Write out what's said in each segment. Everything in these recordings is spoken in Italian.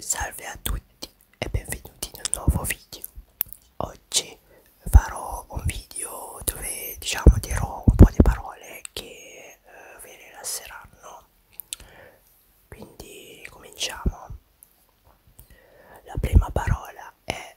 Salve a tutti e benvenuti in un nuovo video. Oggi farò un video dove diciamo dirò un po' di parole che eh, vi rilasseranno. Quindi cominciamo. La prima parola è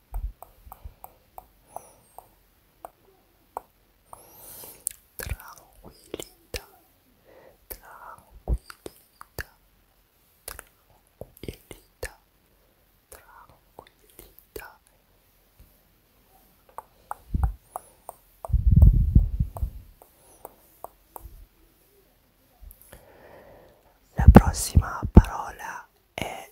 tranquillità tranquillità tranquillità tranquillità la prossima parola è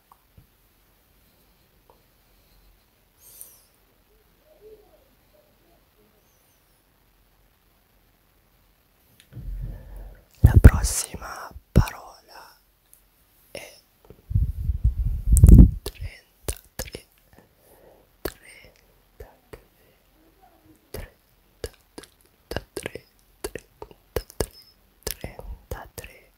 La prossima parola è 33 33 33 33 33 33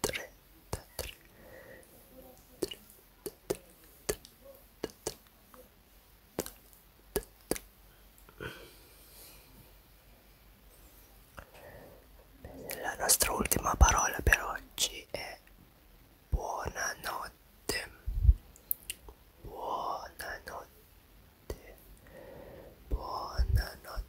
33 la nostra ultima parola per oggi è buonanotte buonanotte buonanotte